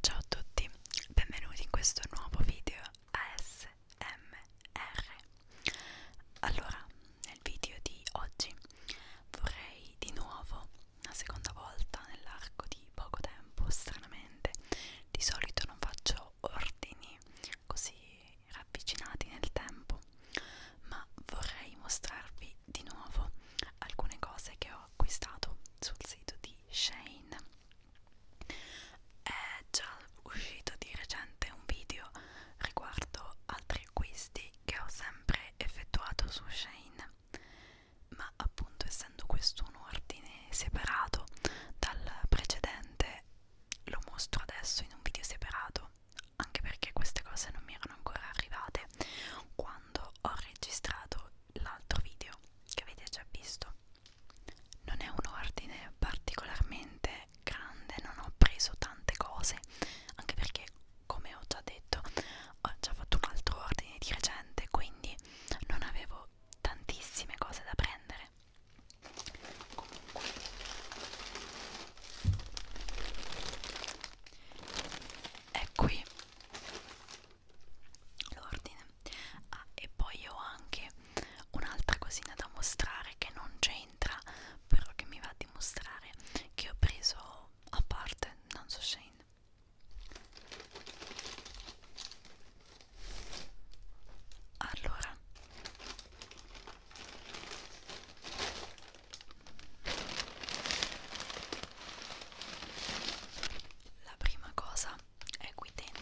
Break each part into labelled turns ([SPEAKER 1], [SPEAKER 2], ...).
[SPEAKER 1] Ciao a tutti, benvenuti in questo nuovo video ASMR. Allora, nel video di oggi vorrei di nuovo, una seconda volta nell'arco di poco tempo, stranamente, di solito non faccio ordini così ravvicinati nel tempo, ma vorrei mostrarvi di nuovo alcune cose che ho acquistato sul sito di Shane. È già uscito di recente un video riguardo altri acquisti che ho sempre effettuato su Shane, ma appunto essendo questo un ordine separato dal precedente, lo mostro adesso in un video separato anche perché queste cose non mi erano ancora arrivate quando ho registrato l'altro video che avete già visto non è un ordine particolarmente grande non ho preso tante cose anche perché come ho già detto ho già fatto un altro ordine di recente quindi non avevo tantissime cose da prendere comunque è qui l'ordine ah, e poi ho anche un'altra cosina da mostrare che non c'entra però che mi va di mostrare che ho preso a parte non so se in allora la prima cosa è qui dentro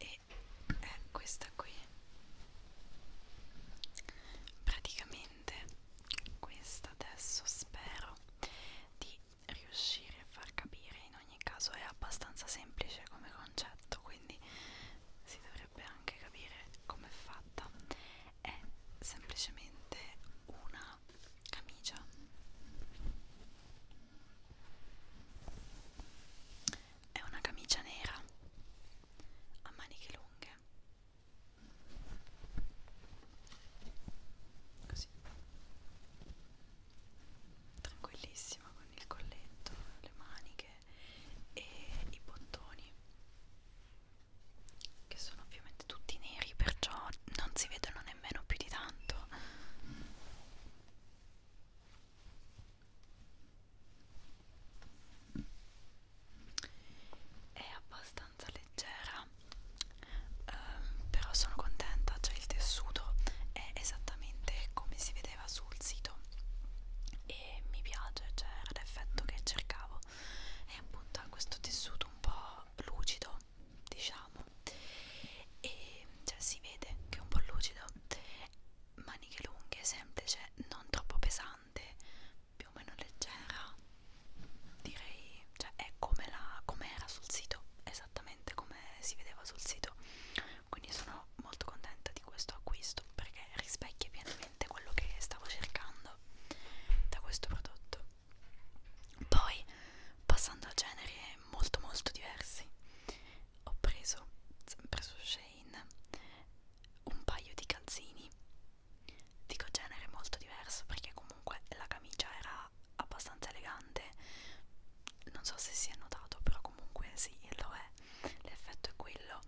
[SPEAKER 1] e è eh, questa qui praticamente questa adesso spero di riuscire a far capire in ogni caso è abbastanza semplice come concetto quindi si dovrebbe anche capire com'è fatta è semplicemente una camicia è una camicia nera a maniche lunghe così tranquillissima con il colletto, le maniche e i bottoni che sono ovviamente tutti neri perciò non si vedono nemmeno più di tanto è abbastanza leggera ehm, però sono contenta cioè il tessuto è esattamente come si vedeva sul sito e mi piace, cioè era l'effetto che cercavo e appunto ha questo tessuto un po' lucido diciamo e cioè si vede che è un po' lucido maniche lunghe, semplice, non troppo pesante più o meno leggera direi, cioè è come, la, come era sul sito è esattamente come si vedeva sul sito quindi sono molto contenta di questo acquisto perché rispecchia pienamente quello che stavo cercando da questo prodotto poi passando a generi molto molto diversi ho preso sempre su Shane un paio di calzini dico genere molto diverso perché comunque la camicia era abbastanza elegante non so se si è notato però comunque sì lo è l'effetto è quello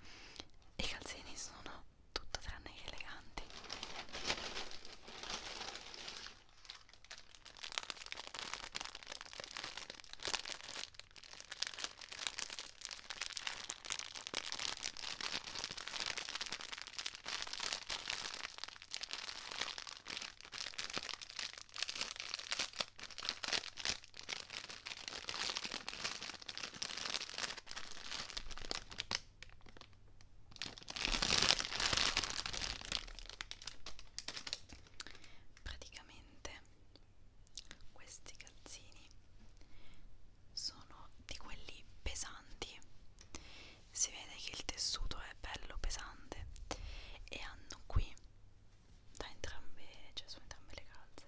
[SPEAKER 1] i calzini sono tutto tranne che eleganti Praticamente questi calzini sono di quelli pesanti si vede che il tessuto è bello pesante e hanno qui da entrambe cioè su entrambe le calze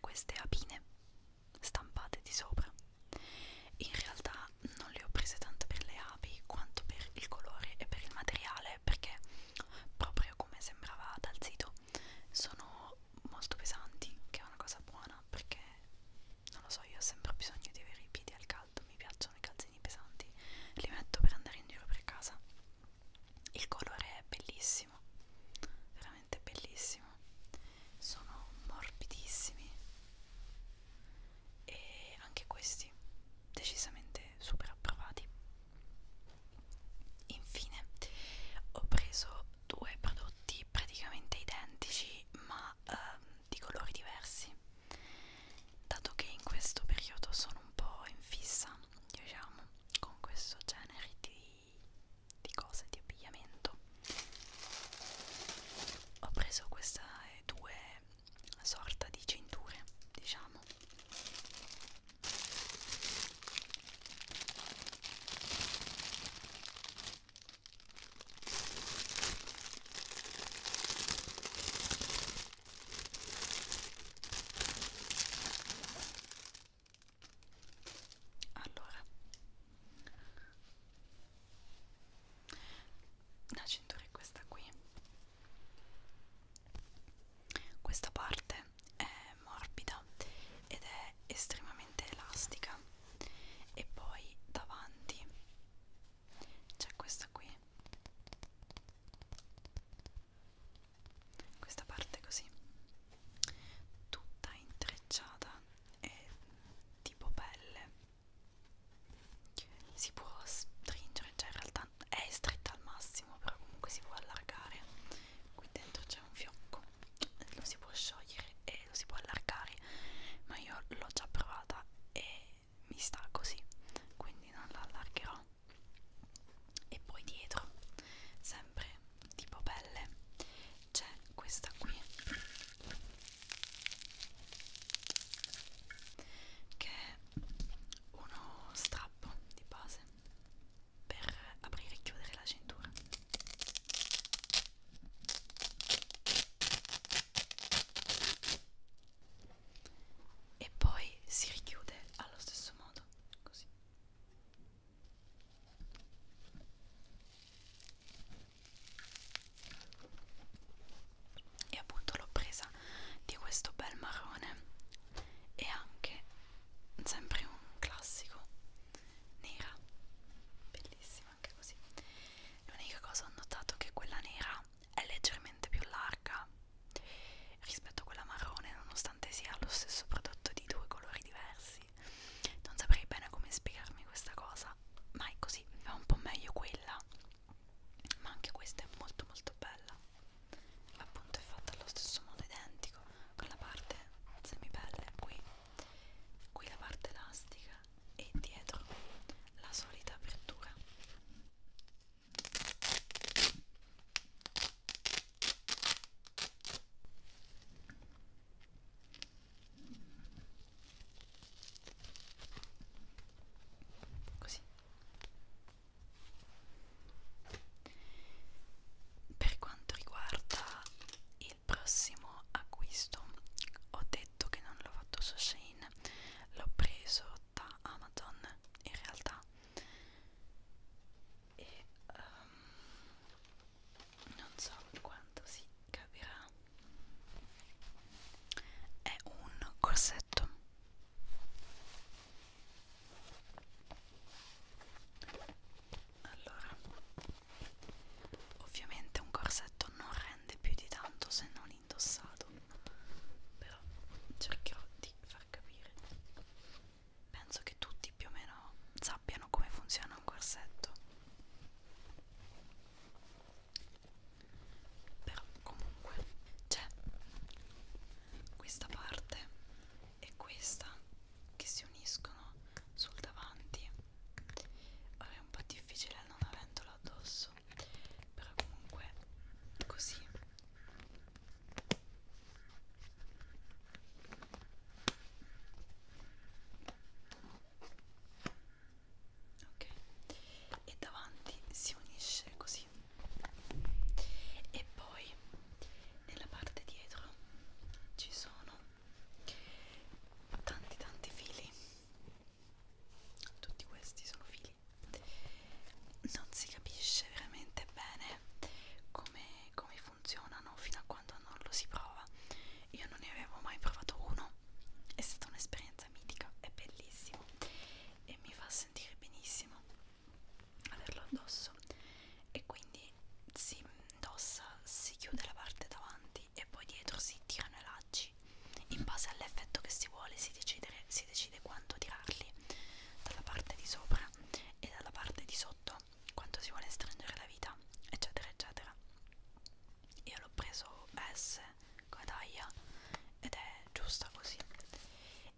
[SPEAKER 1] queste apine stampate di sopra in realtà non le ho prese tanto per le api quanto per il colore e per il materiale perché proprio come sembrava dal sito sono molto pesanti che è una cosa buona perché non lo so, io ho sempre bisogno di avere i piedi al caldo, mi piacciono i calzini pesanti, li metto per andare in giro per casa. Il colore è bellissimo, veramente bellissimo. Sono morbidissimi e anche questi decisamente super approvati. Infine, ho preso due prodotti praticamente identici, ma ehm, di colori diversi dato che in questo periodo sono un po' in fissa diciamo con questo genere di, di cose di abbigliamento ho preso queste due sorta di cinture diciamo allora la cintura è questa qui questa parte è morbida ed è estremamente elastica e poi davanti c'è questa qui questa parte così tutta intrecciata e tipo pelle si può stringere cioè in realtà è stretta al massimo però comunque si può allargare qui dentro c'è un fiocco lo si può sciogliere e lo si può allargare ma io l'ho già provata e mi sta così quindi non la allargherò e poi dietro sempre tipo pelle c'è questa qui che è uno strappo di base per aprire e chiudere la cintura e poi si richiude allo stesso modo così e appunto l'ho presa di questo bel marrone e anche sempre un classico nera bellissima anche così l'unica cosa ho notato che quella nera è leggermente più larga rispetto a quella marrone nonostante sia lo stesso prodotto di due colori diversi non saprei bene come spiegarmi questa cosa ma è così va un po' meglio quella ma anche questa è molto molto bella appunto è fatta allo stesso modo identico con la parte semipelle qui qui la parte elastica e dietro la solita apertura così per quanto riguarda il prossimo acquisto ho detto che non l'ho fatto su Shane l'ho preso da Amazon in realtà e um, non so quanto si capirà è un corsetto allora ovviamente un corsetto non rende più di tanto se non indossato però cercherò di far capire penso che tutti più o meno sappiano come funziona un corsetto però comunque c'è questa parte e questa che si uniscono sul davanti Ora è un po' difficile non avendolo addosso però comunque così ok e davanti si unisce così e poi nella parte dietro ci sono tanti tanti fili tutti questi sono fili non si capisce veramente bene come, come funzionano fino a quando non lo si prova io non ne avevo mai provato uno è stata un'esperienza mitica è bellissimo e mi fa sentire benissimo averlo addosso e quindi si indossa, si chiude la parte davanti e poi dietro si tirano i lacci in base all'effetto che si vuole si decide, si decide quanto tirarli dalla parte di sopra e dalla parte di sotto quanto si vuole stringere la vita eccetera eccetera io l'ho preso S come taglia ed è giusta così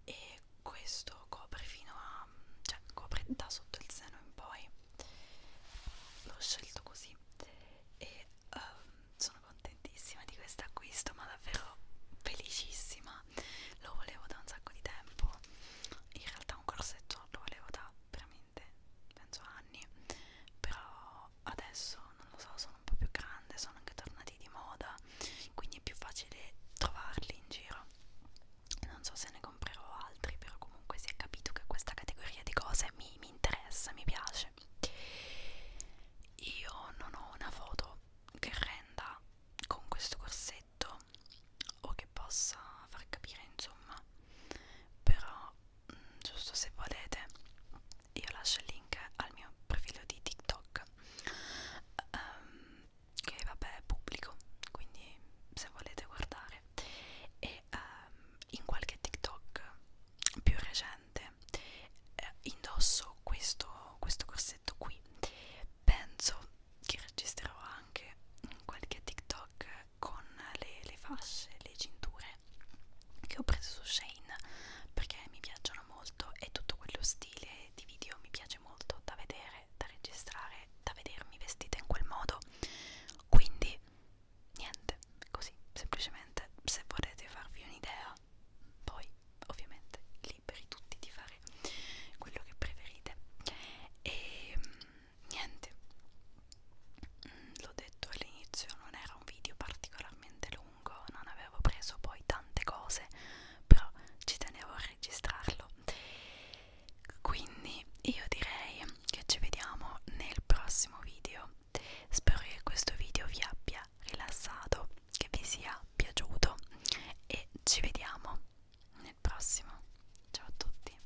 [SPEAKER 1] e questo copre fino a cioè copre da sotto il seno in poi l'ho scelto così e um, sono contentissima di questo acquisto ma davvero felicissima lo volevo da un sacco di tempo in realtà un corsetto lo volevo da veramente penso anni però adesso non lo so sono un po' più grande sono anche tornati di moda quindi è più facile trovarli in giro non so se ne comprerò altri però comunque si è capito che questa categoria di cose mi, mi interessa mi piace io non ho una foto che renda con questo corsetto o che possa far capire insomma però mm, giusto se volete io lascio il link al mio profilo di TikTok um, che vabbè è pubblico quindi se volete guardare e um, in qualche TikTok più recente eh, indosso questo, questo corsetto qui penso che registrerò anche qualche TikTok con le, le fasce, le cinture che ho preso su Shane perché mi piacciono molto e tutto quello stile genere di video mi piace molto da vedere, da registrare, da vedermi vestita in quel modo. Quindi, niente, così, semplicemente se volete farvi un'idea, poi ovviamente liberi tutti di fare quello che preferite. E niente, mm, l'ho detto all'inizio, non era un video particolarmente lungo lungo, non avevo preso poi tante cose, però ci tenevo a registrarlo. Quindi io direi che ci vediamo nel prossimo video. Spero che questo video vi abbia rilassato, che vi sia piaciuto e ci vediamo nel prossimo. Ciao a tutti.